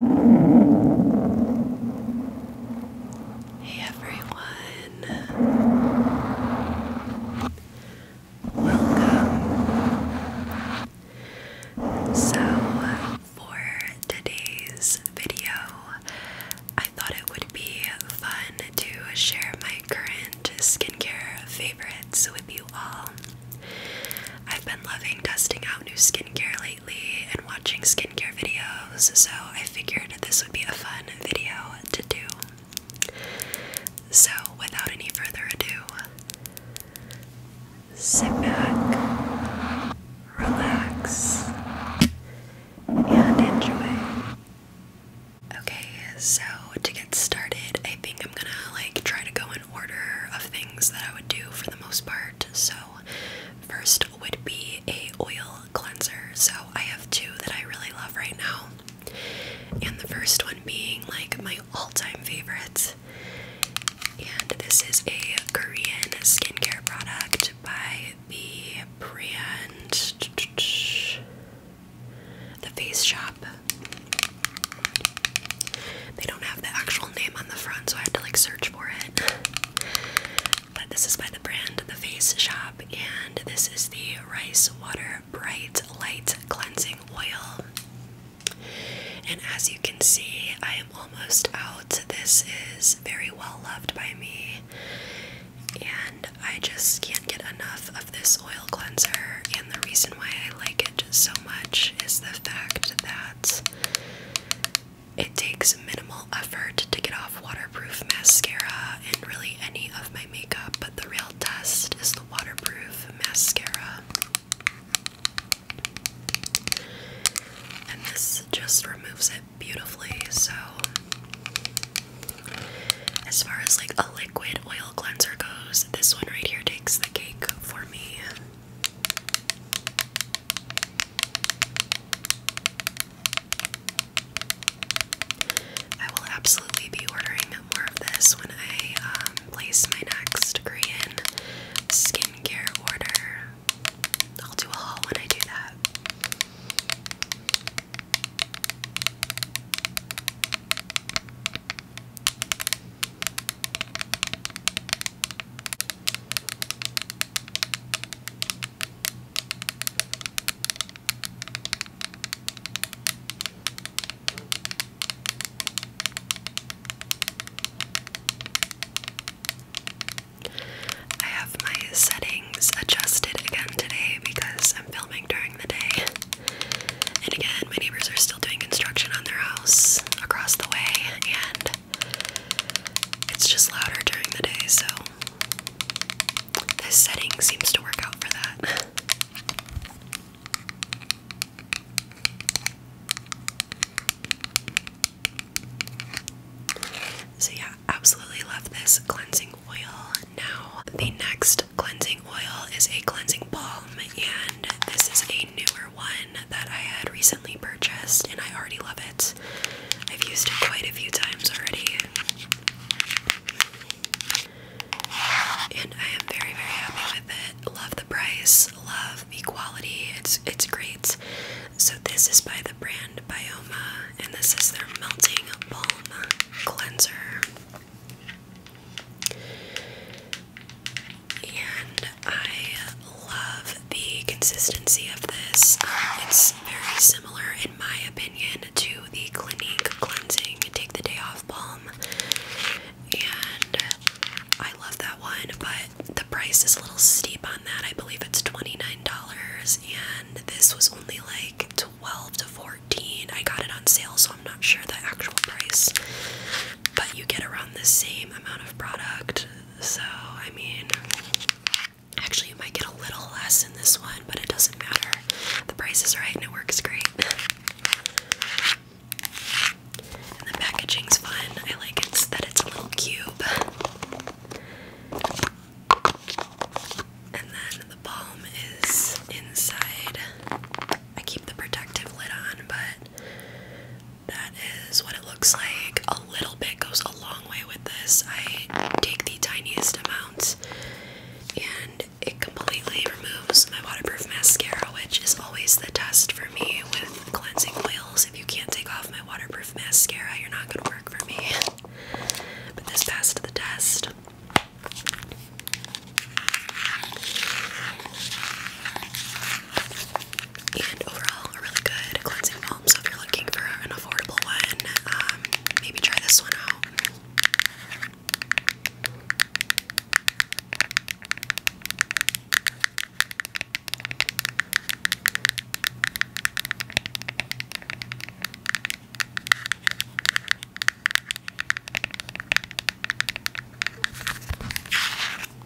Hey everyone, welcome. So, for today's video, I thought it would be fun to share my current skincare favorites with you all. I've been loving testing out new skincare lately, watching skincare videos, so I figured this would be a fun video to do. So, without any further ado, sit back, relax, and enjoy. Okay, so to get started, I think I'm gonna like try to go in order of things that I would do for the most part. So, First would be a oil cleanser. So I have two that I really love right now. And the first one being like my all-time favorite. And this is a Korean skincare product by the brand The Face Shop. They don't have the actual name on the front, so I had to like search for it. But this is by the brand The Face Shop, and this is the Rice Water Bright Light Cleansing Oil. And as you can see, I am almost out. This is very well loved by me, and I just can't get enough of this oil cleanser. And the reason why I like it so much is the fact that it takes minimal effort to get off waterproof mascara and really any of my makeup, but the real test is the waterproof mascara. And this just removes it beautifully. So, as far as like a liquid oil cleanser goes, this one right here takes the cake for me. I will absolutely be ordering more of this when I um, place my next Korean skincare order. I'll do a haul when I do that. I have my settings adjusted again today because I'm filming during the day. And again, my neighbors are still doing construction on their house across the way, and it's just louder during the day, so this setting seems to work out for that. So, yeah, absolutely love this cleansing oil. Now, the next cleansing oil is a cleansing balm, and this is a newer one that I had recently purchased, and I already love it. I've used it quite a few times already. And I am very, very happy with it. Love the price, love the quality. It's it's great. So this is by the brand Bioma, and this is their melting balm cleanser. And I love the consistency of this. it's very similar, in my opinion, to the Clinique Cleansing Take the Day Off Balm. And I love that one, but the price is a little steep on that. I believe it's $29, and this was only like 12 to 14 I got it on sale, so I'm not sure the actual price. But you get around the same amount of product so, I mean, actually, you might get a little less in this one, but it doesn't matter. The price is right and it works great. And the packaging's fun. I like it that it's a little cube. And then the balm is inside. I keep the protective lid on, but that is what it looks like. A little bit goes a long way with this. I take the tiniest amount and it completely removes my waterproof mascara, which is always the test for me with cleansing oils. If you can't take off my waterproof mascara, you're not going to work for me. But this passed the test. And overall, really good cleansing so if you're looking for an affordable one, um, maybe try this one out.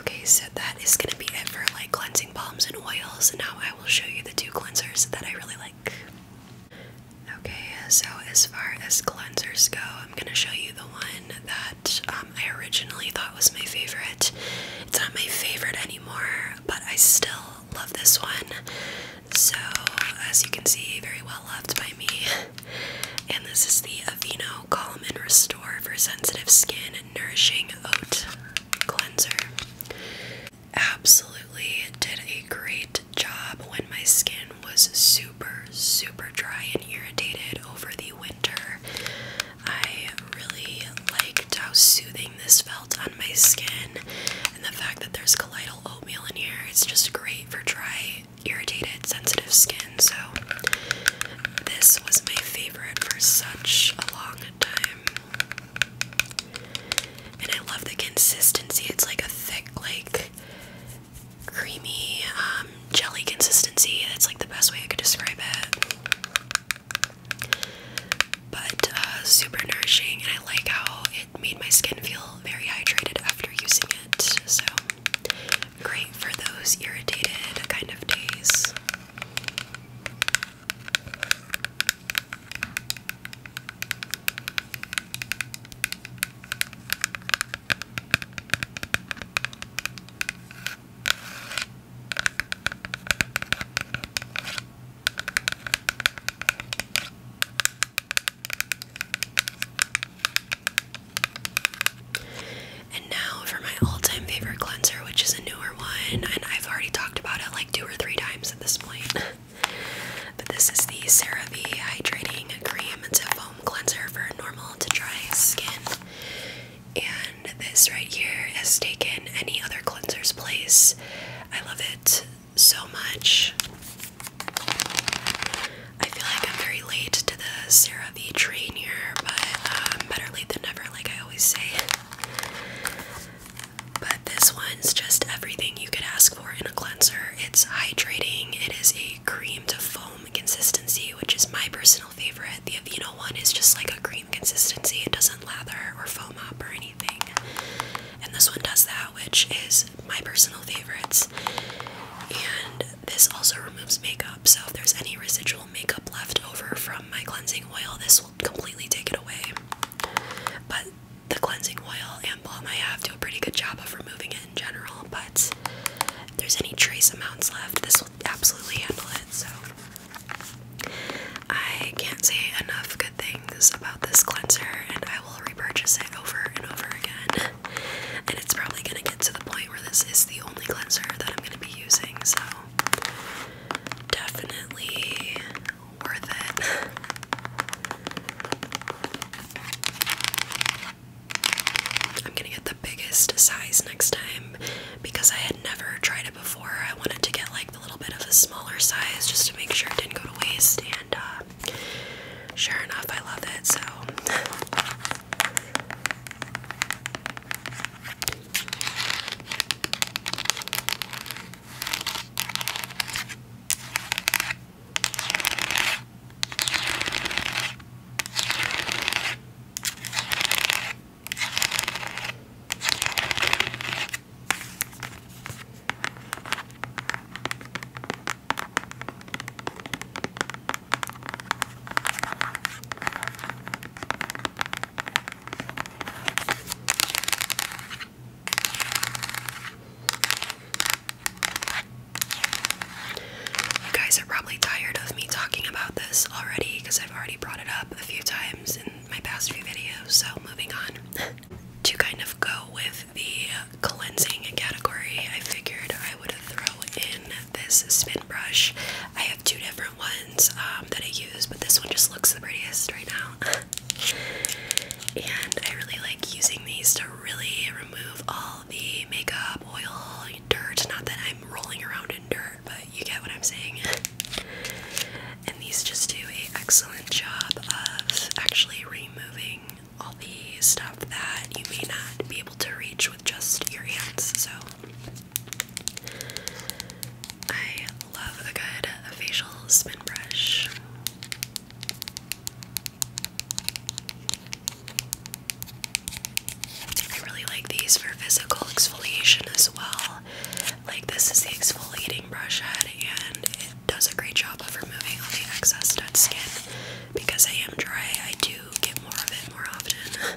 Okay, so that is gonna be it for like cleansing balms and oils. Now I will show you the two cleansers that I really like. Okay, so as far as cleansers go, I'm gonna show you the one that um, I originally thought was my favorite. It's not my favorite anymore, but I still love this one. So, as you can see, very well loved by me. And this is the Aveeno Calm and Restore for Sensitive Skin Nourishing Oat Cleanser. Absolutely did a great job when my skin was super, super dry and irritated over the winter. I really liked how soothing this felt on my skin, and the fact that there's colloidal oatmeal in here, it's just great for dry irritated, sensitive skin, so this was my favorite for such a long time. And I love the consistency. It's like a thick, like creamy um, jelly consistency. That's like the best way I could describe it. But uh, super nourishing, and I like how it made my skin feel very hydrated after using it. So great for those irritated kind of days. And now for my all-time favorite cleanser, which is a newer one, and I've already talked about it like two or three times at this point. but this is the CeraVe Hydrating Cream. It's a foam cleanser for normal to dry skin. And this right here has taken any other cleanser's place. I love it so much. I feel like I'm very late to the Sarah V. train here, but um, better late than never, like I always say. But this one's just everything you could ask for in a cleanser. It's hydrating, it is a cream to foam consistency, which is my personal favorite. The Aveeno one is just like a cream consistency, it doesn't lather or foam up or anything. And this one does that, which is my personal favorites. And this also removes makeup, so if there's any residual makeup left over from my cleansing oil, this will completely take it away. But the cleansing oil and balm I have do a pretty good job of removing it in general, but if there's any trace amounts left, this will absolutely handle it. So I can't say enough good things about this cleanser, and I will repurchase it over and over again and it's probably gonna get to the point where this is the only cleanser that I'm gonna be using, so definitely worth it. I'm gonna get the biggest size next time because I had never tried it before. I wanted to get like a little bit of a smaller size just to make sure it didn't go to waste and uh, sure enough, I love it so. You guys are probably tired of me talking about this already because I've already brought it up a few times in my past few videos, so moving on. to kind of go with the cleansing category, I figured I would throw in this spin brush. I have two different ones um, that I use, but this one just looks the prettiest right now. and I really like using these to really remove all the makeup, oil, dirt. Not that I'm rolling around in dirt, but you get what I'm saying. and these just do an excellent job of actually removing all the stuff that you may not be able to reach with just your hands. So I love a good facial spin brush. I really like these for physical exfoliation as well. Like, this is the exfoliating brush head, and it does a great job of removing all the excess dead skin because I am dry, I do get more of it more often.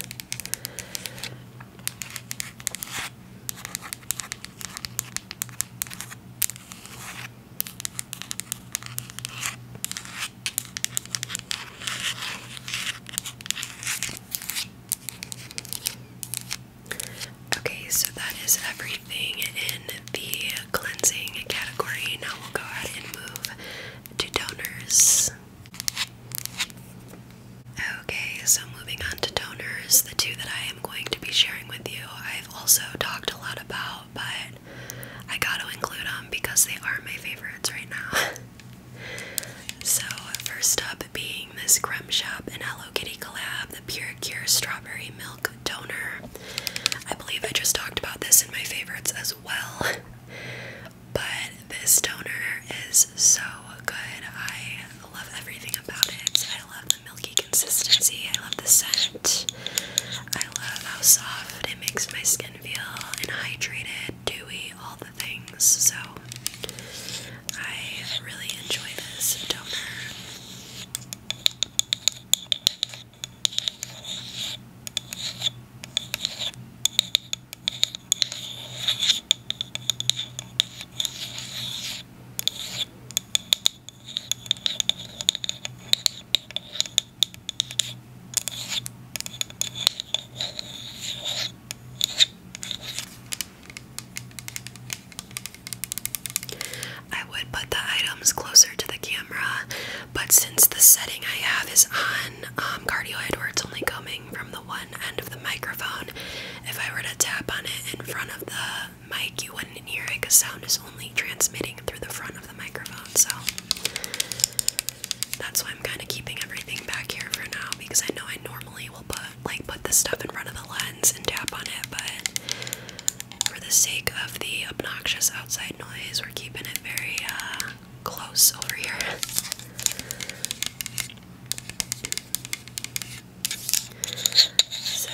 Okay, so that is everything in the cleansing category. Now we'll go ahead and move to toners. Okay, so moving on to toners, the two that I am going to be sharing with you, I've also talked a lot about, but I got to include them because they are my favorites right now. so, first up being this Creme Shop and Hello Kitty collab, the Pure Cure Strawberry Milk Toner. I believe I just talked about this in my favorites as well well. But this toner is so good. I love everything about it. I love the milky consistency. I love the scent. I love how soft it makes my skin feel and hydrated, dewy, all the things. So I really enjoy this toner. I would put the items closer to the camera but since the setting I have is on um, cardioid where it's only coming from the one end of the microphone, if I were to tap on it in front of the mic, you wouldn't hear it because sound is only transmitting through the front of the microphone. So that's why I'm kind of keeping everything back here for now because I know I normally will put like put this stuff in front of the lens and tap on it, but for the sake of the obnoxious outside we're keeping it very uh, close over here.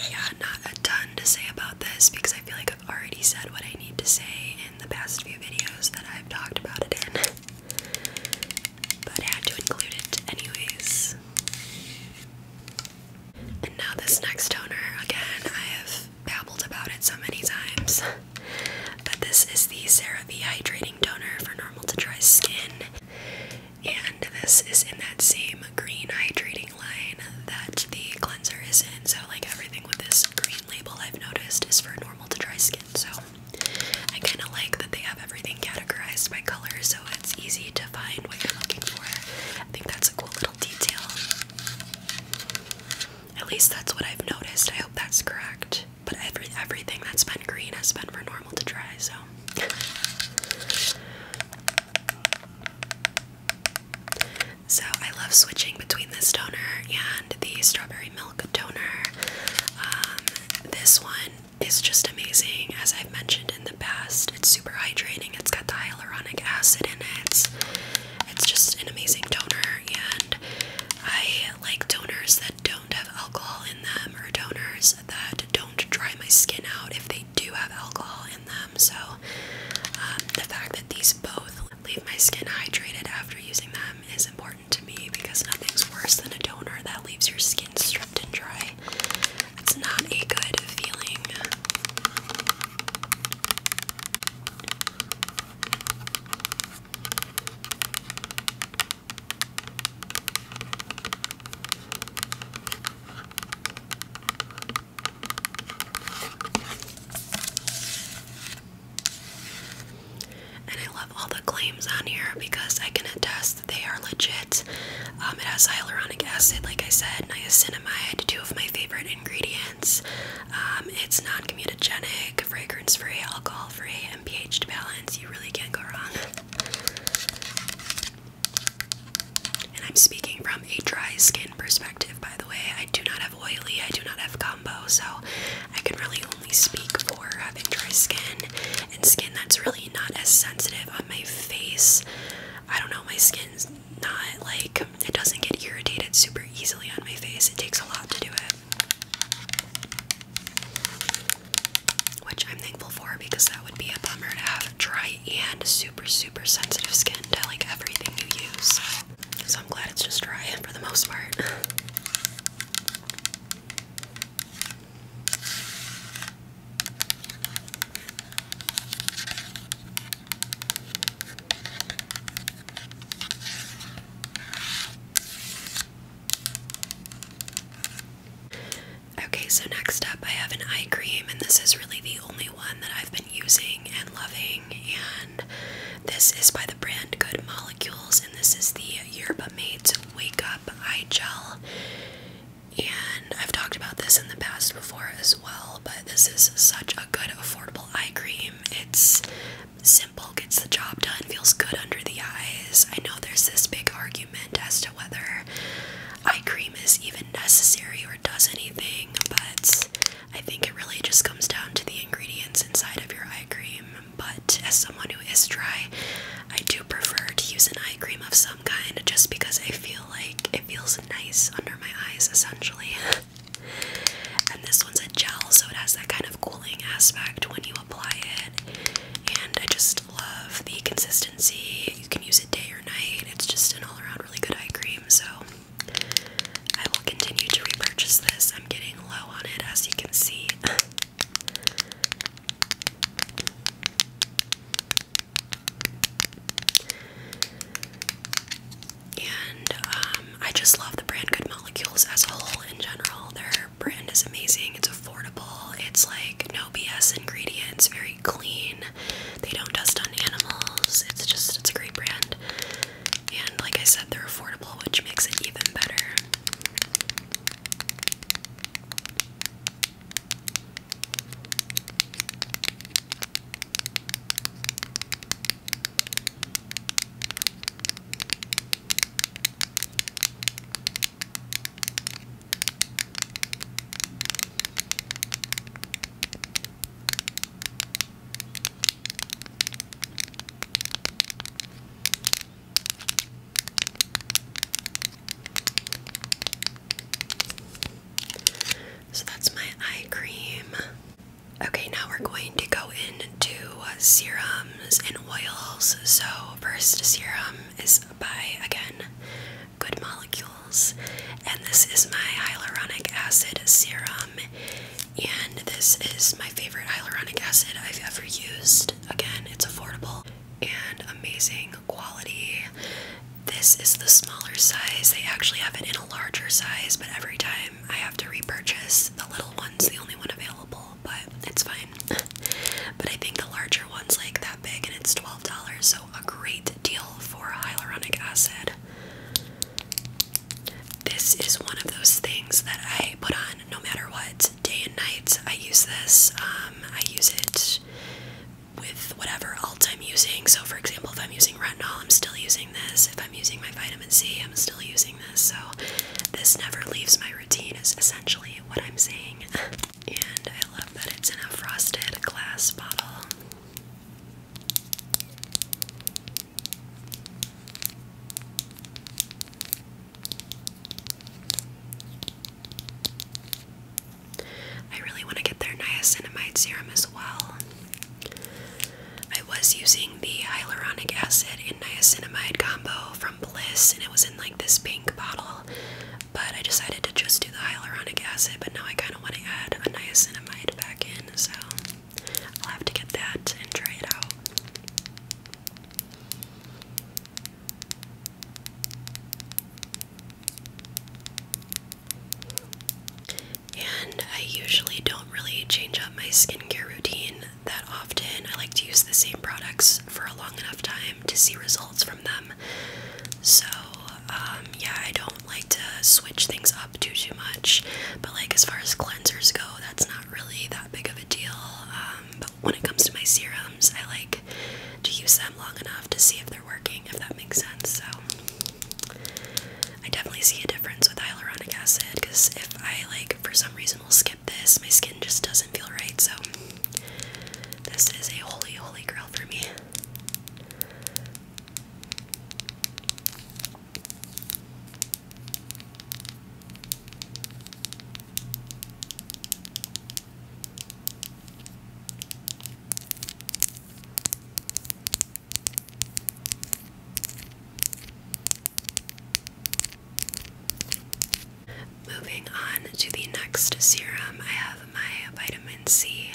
yeah, not a ton to say about this because I feel like I've already said what I need to say in the past few videos that I've talked about it in. But I had to include it anyways. And now, this next toner, again, I have I've babbled about it so many times. But this is the CeraVe Hydrating Toner for normal to dry skin. And this is in that same green hydrating line that the cleanser is in. So like everything with this green label I've noticed is for normal to dry skin. So I kind of like that they have everything categorized by color so it's easy to find what you're looking for. I think that's a cool little detail. At least that's what I've noticed. I hope that's correct. But every everything that's been green has been for normal to dry, so So I love switching between this toner and the strawberry milk toner. Um, this one is just amazing, as I've mentioned in the past. It's super hydrating, it's got the hyaluronic acid in it. It's just an amazing toner, and I like toners that don't have alcohol in them, or toners that don't dry my skin out if they do have alcohol in them. So, um, the fact that these both leave my skin hydrated after using them is important to me because nothing's worse than a toner that leaves your skin stripped and dry. It's not a good feeling. And I love all the claims on here because I can attest that they are legit. Um, it has hyaluronic acid, like I said, niacinamide, two of my favorite ingredients. Um, it's non-comedogenic, fragrance-free, alcohol-free, and pH to balance. You really can't go wrong. And I'm speaking from a dry skin perspective, by the way. I do not have oily, I do not have combo, so I can really only speak for having dry skin and skin that's really not as sensitive on my face. I don't know, my skin's not like it doesn't get irritated super easily on my face. It takes a lot to do it. Which I'm thankful for because that would be a bummer to have dry and super, super sensitive skin to like everything you use. So I'm glad it's just dry for the most part. Okay, so next up I have an eye cream, and this is really the only one that I've been using and loving. And this is by the brand Good Molecules, and this is the Yerba Made Wake Up Eye Gel. And I've talked about this in the past before as well, but this is such a good affordable eye cream. It's Simple gets the job done, feels good under the eyes. I know there's this big argument as to whether eye cream is even necessary or does anything, but I think it really just comes down to the ingredients inside of your eye cream. But as someone who is dry, I do prefer to use an eye cream of some kind just because I feel like it feels nice under my eyes essentially. And this one's a gel, so it has that kind of cooling aspect when you apply it. And I just love the consistency. You can use it day or night. It's just an all around really good eye cream, so I will continue to repurchase this. I'm getting low on it, as you can see and um, I just love the brand Good Molecules as a whole in general. Their brand is amazing. It's affordable. It's like no BS ingredients. Very clean. They don't test on animals. It's just it's a great brand. And like I said, they're affordable, which makes it even better. So that's my eye cream. Okay, now we're going to go into serums and oils. So, first serum is by again Good Molecules, and this is my hyaluronic acid serum. And this is my favorite hyaluronic acid I've ever used. Again, it's affordable and amazing quality. This is the smaller size. They actually have it in a larger size, but every time I have to repurchase the little one's the only one available, but it's fine. but I think the larger one's like that big and it's $12, so a great deal for hyaluronic acid. This is one of those things that I put on no matter what, day and night. I use this. Um, I use it with whatever alt I'm using. So, for example, if I'm using retinol, I'm still using this. If I'm using my vitamin C, I'm still using this, so this never leaves my routine, is essentially what I'm saying. And I love that it's in a frosted glass bottle. I really want to get their niacinamide serum as well. I was using the hyaluronic acid and niacinamide combo from Bliss, and it was in like this pink bottle. But I decided to just do the hyaluronic acid, but now I kind of want to add a niacinamide back in, so I'll have to get that and try it out and I usually don't really change up my skincare routine that often. I like to use the same products for a long enough time to see results from them. So, um, yeah, I don't like to switch things up too too much. But like as far as cleansers go, that's not really that big of a deal. Um, but when it comes to my serums, I like to use them long enough to see if they're working, if that makes sense. So, I definitely see a difference with hyaluronic acid because if I like for some reason will skip this, my skin just doesn't feel right. So this is a holy, holy grail for me. Moving on to the next serum, I have my vitamin C,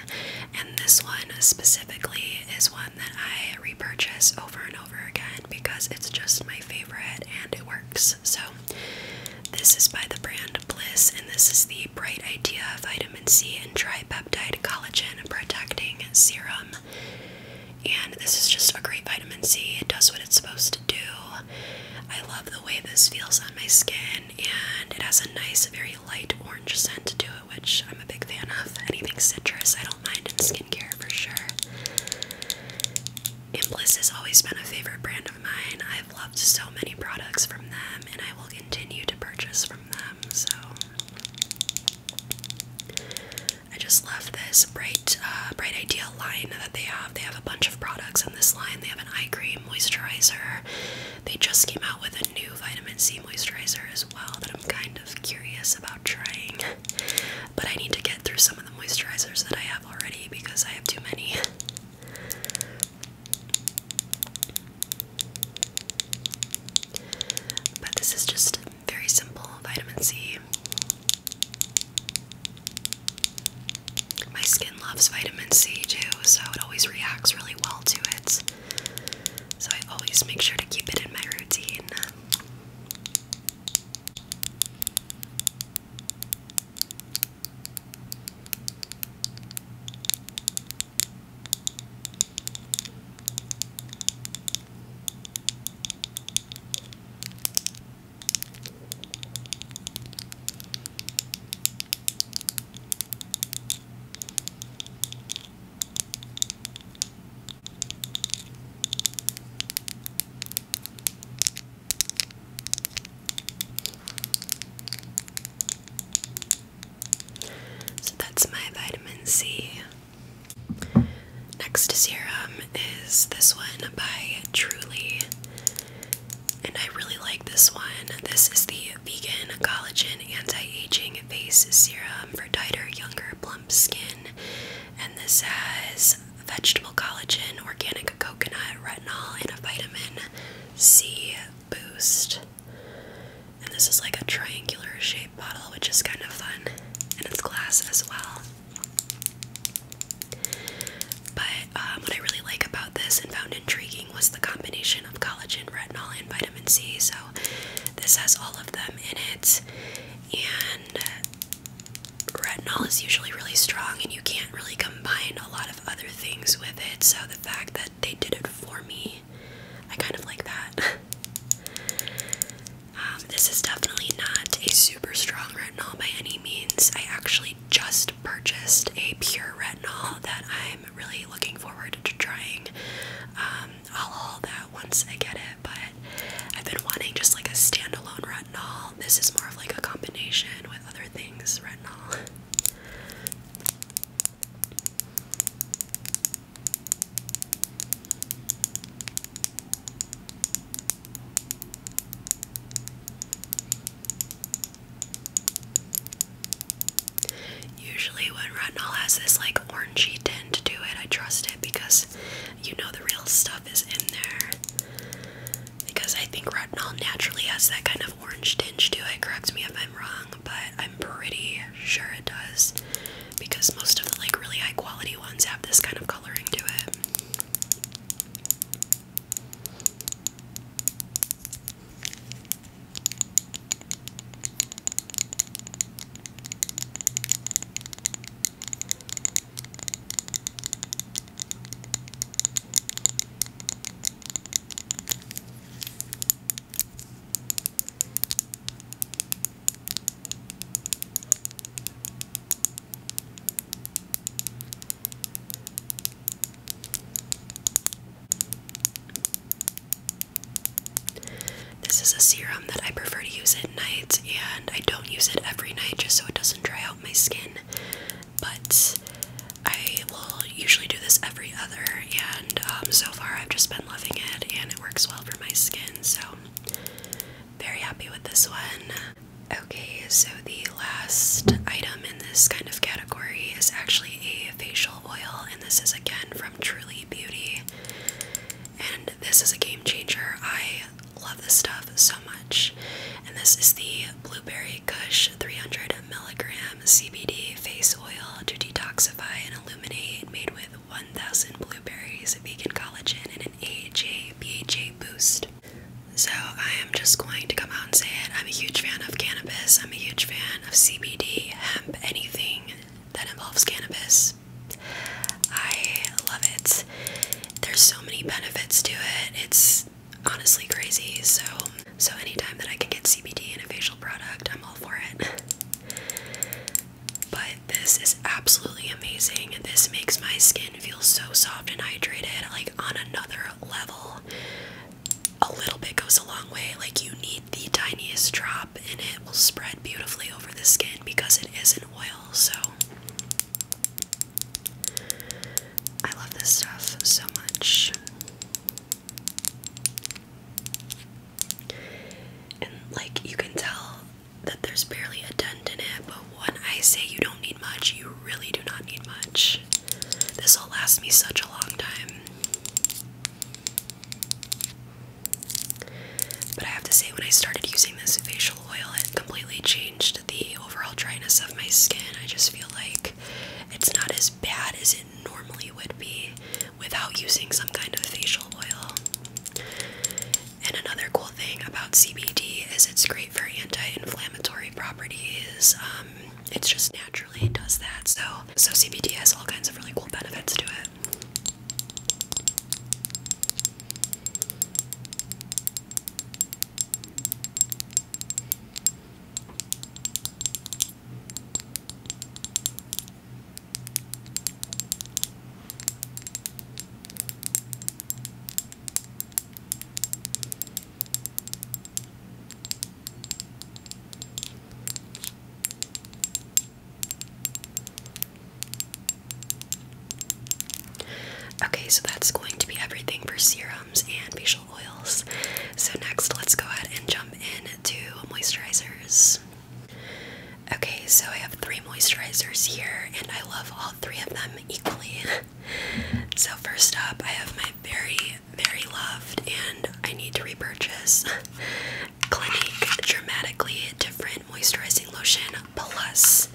and this one specifically is one that I repurchase over and over again because it's just my favorite and it works. So, this is by the brand Bliss, and this is the Bright Idea Vitamin C and Tripeptide Collagen Protecting Serum. And this is just a great vitamin C. It does what it's supposed to do. I love the way this feels on my skin, and it has a nice, very light orange scent to it, which I'm a big fan of. Anything citrus, I don't mind in skincare for sure. Imbliss has always been a favorite brand of mine. I've loved so many products from them, and I will continue to purchase from them. So, I just love this bright, uh, bright idea line that they have. They have a bunch of products in this line. They have an eye cream, moisturizer. They just came out with a new vitamin C moisturizer as well that I'm kind of curious about trying. But I need to get through some of the moisturizers that I have already because I have too many. But this is just very simple vitamin C. My skin loves vitamin C too, so it always reacts really well to it. So I always make sure to keep it in my routine. So that's my vitamin C Next serum is this one by Truly. And I really like this one. This is the Vegan Collagen Anti-Aging Face Serum for tighter, younger, plump skin. And this has vegetable collagen, organic coconut, retinol, and a vitamin C boost. And this is like a triangular shape which is kind of fun, and it's glass as well. But um, what I really like about this and found intriguing was the combination of collagen, retinol, and vitamin C. So this has all of them in it, and retinol is usually really strong, and you can't really combine a lot of other things with it. So the fact that they did it for me, I kind of like that. Um, this is definitely not a super strong retinol by any means. I actually just purchased a pure retinol that I'm really looking forward to trying. Um, I'll haul that once I get it, but I've been wanting just like a standalone retinol. This is more of like a combination with other things retinol. Usually, when retinol has this like orangey tint to it, I trust it because you know the real stuff is in there. Because I think retinol naturally has that kind of orange tinge to it. Correct me if I'm wrong, but I'm pretty sure it does. Because most of the like really high quality ones have this kind of color coloring to it. This is a serum that I prefer to use at night, and I don't use it every night just so it doesn't dry out my skin. But I will usually do this every other, and um, so far I've just been loving it, and it works well for my skin. So very happy with this one. Okay, so the last item in this kind of category is actually a facial oil, and this is again from Truly Beauty. And this is a game changer. I love this stuff so much. And this is the Blueberry Kush 300 milligram CBD face oil to detoxify and illuminate, made with 1000 blueberries, vegan collagen, and an AHA BHA boost. So, I am just going to come out and say it. I'm a huge fan of cannabis. I'm a huge fan of CBD, hemp, anything that involves cannabis. I love it. There's so many benefits to it. It's honestly crazy. So, so anytime that I can get CBD in a facial product, I'm all for it. But this is absolutely amazing. This makes my skin feel so soft and hydrated, like on another level. A little bit goes a long way. Like, you need the tiniest drop, and it will spread beautifully over the skin because it is an oil. So, I love this stuff so much. And, like, you can tell that there's barely a dent in it, but when I say you don't need much, you really do not need much. This will last me such a long time. But I have to say, when I started using this facial oil, it completely changed the overall dryness of my skin. I just feel like it's not as bad as it normally would be without using some kind of facial oil. And another cool thing about CBD is it's great for anti-inflammatory properties. Um, it's just naturally does that. So, so CBD has all kinds of really cool benefits to it. Okay, so that's going to be everything for serums and facial oils. So, next, let's go ahead and jump into moisturizers. Okay, so I have three moisturizers here, and I love all three of them equally. so, first up, I have my very, very loved, and I need to repurchase Clinique Dramatically Different Moisturizing Lotion Plus.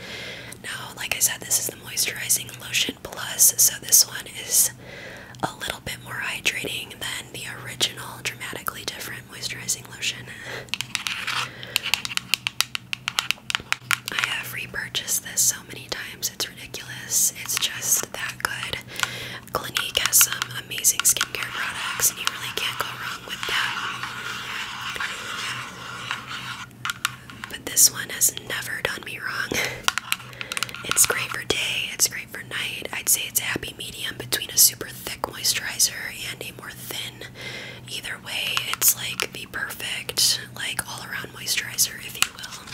Now, like I said, this is the Moisturizing Lotion Plus, so this one is a little bit more hydrating than the original Dramatically Different Moisturizing Lotion. I have repurchased this so many times, it's ridiculous. It's just that good. Clinique has some amazing skincare products, and you really can't go wrong with that. But this one has never done me wrong. it's great for day, it's great for night. I'd say it's a happy medium between a super thick moisturizer and a more thin, either way, it's like be perfect, like all around moisturizer, if you will.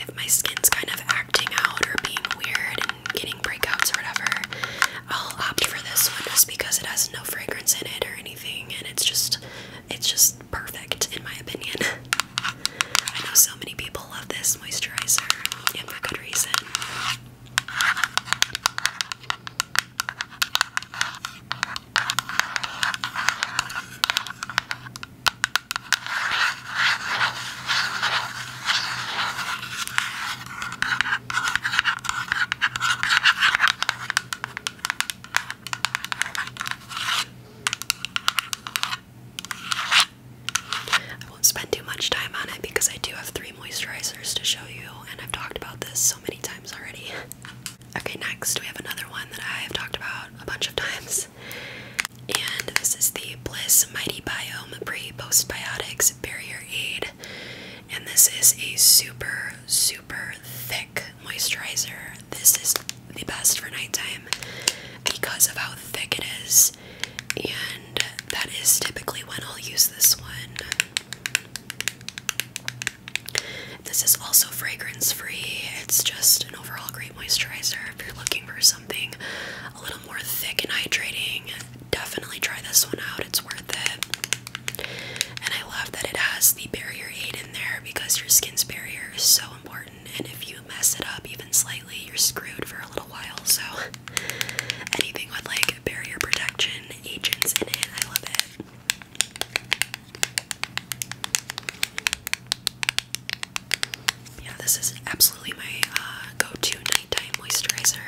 If my skin's kind of acting out or being weird and getting breakouts or whatever, I'll opt for this one just because it has no fragrance in it or anything, and it's just, it's just perfect in my opinion. I know so many people love this moisturizer, and for good reason. I won't spend too much time on it because I do have three moisturizers to show you, and I've talked about this so many times already. okay, next we have another one that I have talked about a bunch of times, and this is the Bliss Mighty Biome Pre Postbiotics Barrier Aid, and this is a super, super thick moisturizer. This is the best for nighttime because of how thick it is and that is typically when I'll use this one. This is also fragrance free, it's just an overall great moisturizer. If you're looking for something a little more thick and hydrating, definitely try this one out, it's worth it. And I love that it has the barrier aid in there because your skin's barrier is so important, and if you mess it up even slightly, you're screwed for a little while. So, Anything with like barrier protection agents in it, I love it. Yeah, this is absolutely my uh, go-to nighttime moisturizer.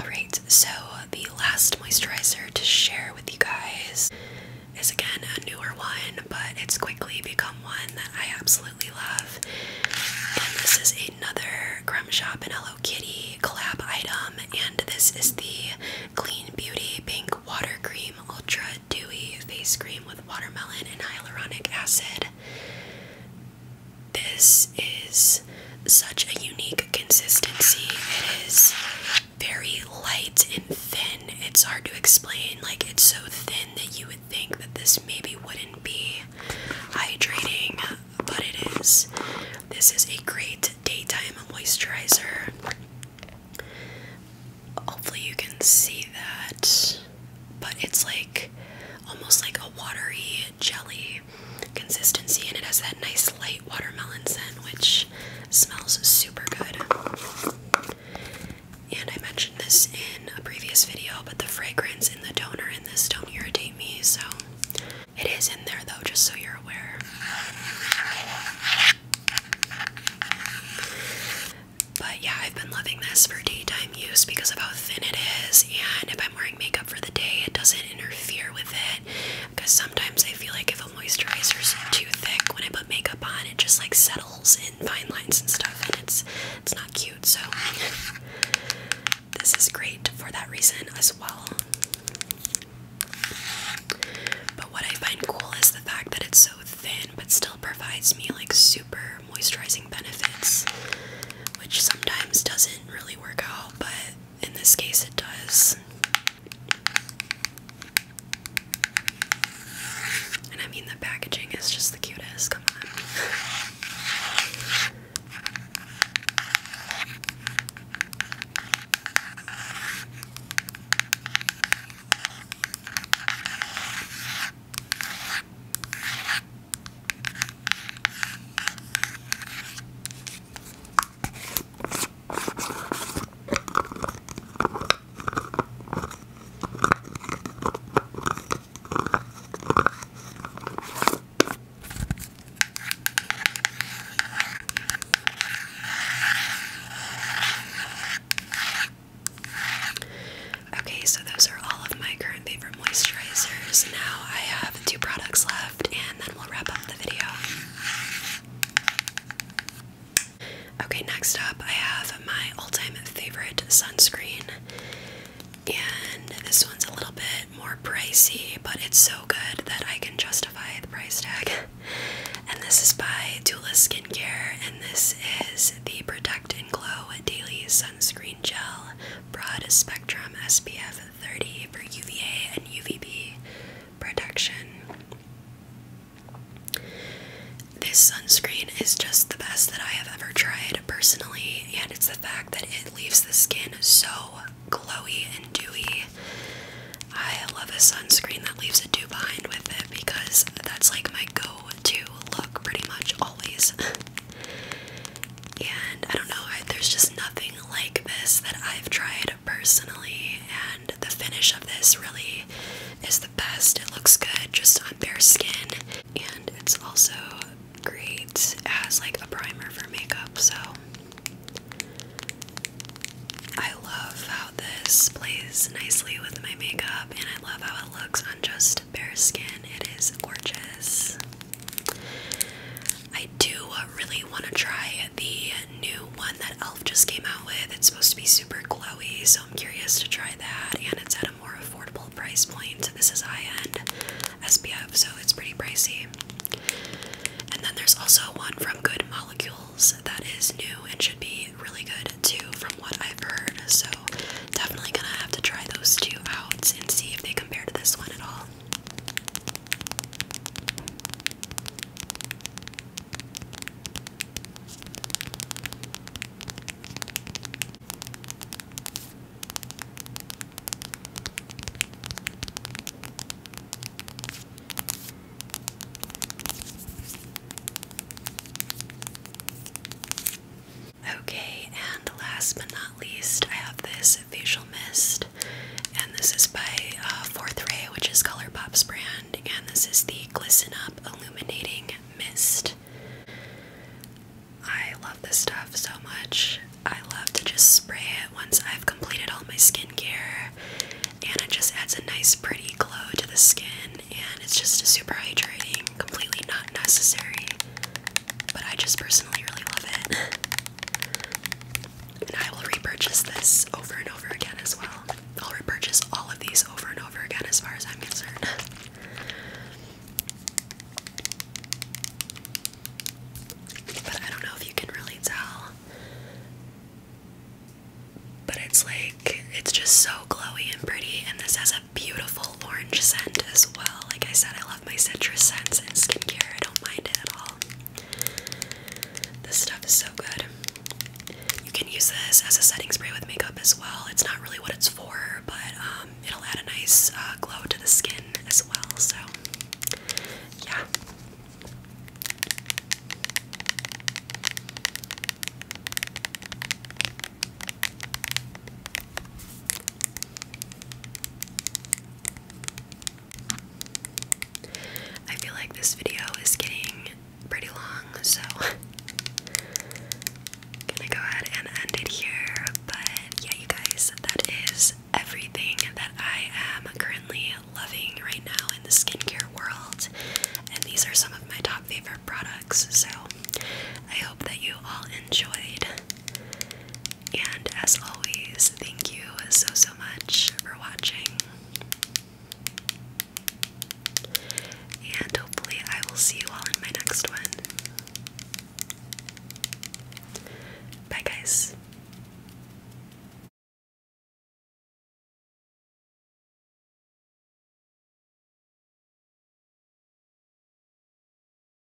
Alright, so the last moisturizer to share with you guys is again a newer one, but it's quickly become one that I absolutely love. this is another Crumb Shop and Hello Kitty collab item, and this is the Clean Beauty Pink Water Cream Ultra Dewy Face Cream with Watermelon and Hyaluronic Acid this is such a unique consistency. It is very light and thin. It's hard to explain. Like, it's so thin that you would think that this maybe wouldn't be hydrating, but it is. This is a great daytime moisturizer. Hopefully, you can see that but it's like almost like a watery jelly consistency, and it has that nice light watermelon scent, which smells super good. And I mentioned this in a previous video, but the fragrance in the toner in this don't irritate me, so it is in there though, just so you're aware. But yeah, I've been loving this for daytime use because of how thin it is and I'm wearing makeup for the day, it doesn't interfere with it. Because sometimes I feel like if a moisturizer is too thick when I put makeup on, it just like settles in fine lines and stuff, and it's it's not cute. So this is great for that reason as well. But what I find cool is the fact that it's so thin, but still provides me like super moisturizing benefits, which sometimes doesn't really work out, but in this case it does. And I mean, the packaging is just the cutest. Come on. Okay, so those are all of my current favorites favorite moisturizers. Now I have two products left, and then we'll wrap up the video. Okay, next up, I have my all time favorite sunscreen. And this one's a little bit more pricey, but it's so good that I can justify the price tag. and this is by Dula Skincare, and this is the Protect and Glow Daily Sun Screen gel, broad spectrum SPF 30 for UVA and UVB protection. This sunscreen is just the best that I have ever tried personally, and it's the fact that it leaves the skin so glowy and dewy. I love a sunscreen that leaves a dew behind with it because that's like my go to look pretty much always. and I don't know, there's just nothing like this that I've tried personally, and the finish of this really is the best. It looks good just on bare skin, and it's also great as like a primer for makeup, so I love how this plays nicely with my makeup, and I love how it looks on just bare skin. It is gorgeous. I do really want to try the new one that Elf just came out with. It's supposed to be super glowy, so I'm curious to try that. And it's at a more affordable price point. This is high end SPF, so it's pretty pricey. And then there's also one from Good Molecules that is new and should be really good too, from what I've heard. So definitely gonna have to try those two out and see if they compare to this one at all. Okay, and last but not least, I have this facial mist, and this is by uh, Fourth Ray, which is ColourPop's brand, and this is the Glisten Up Illuminating Mist. I love this stuff so much. I love to just spray it once I've completed all my skincare, and it just adds a nice, pretty glow to the skin, and it's just a super hydrating, completely not necessary but I just personally really love it. And I will repurchase this over and over again as well. I'll repurchase all of these over and over again as far as I'm concerned. But I don't know if you can really tell. But it's like, it's just so glowy and pretty, and this has a beautiful orange scent as well. Like I said, I love my citrus scents and skincare. I don't mind it at all. This stuff is so good. You can use this as a setting spray with makeup as well. It's not really what it's for, but um, it'll add a nice uh, glow to the skin as well. So, yeah. I feel like this video is getting pretty long, so I'm gonna go ahead and end it here. But yeah, you guys, that is everything that I am currently loving right now in the skincare world, and these are some of my top favorite products. So I hope that you all enjoyed. And as always, thank you so, so much for watching. And hopefully, I will see you all in my next one. Bye, guys.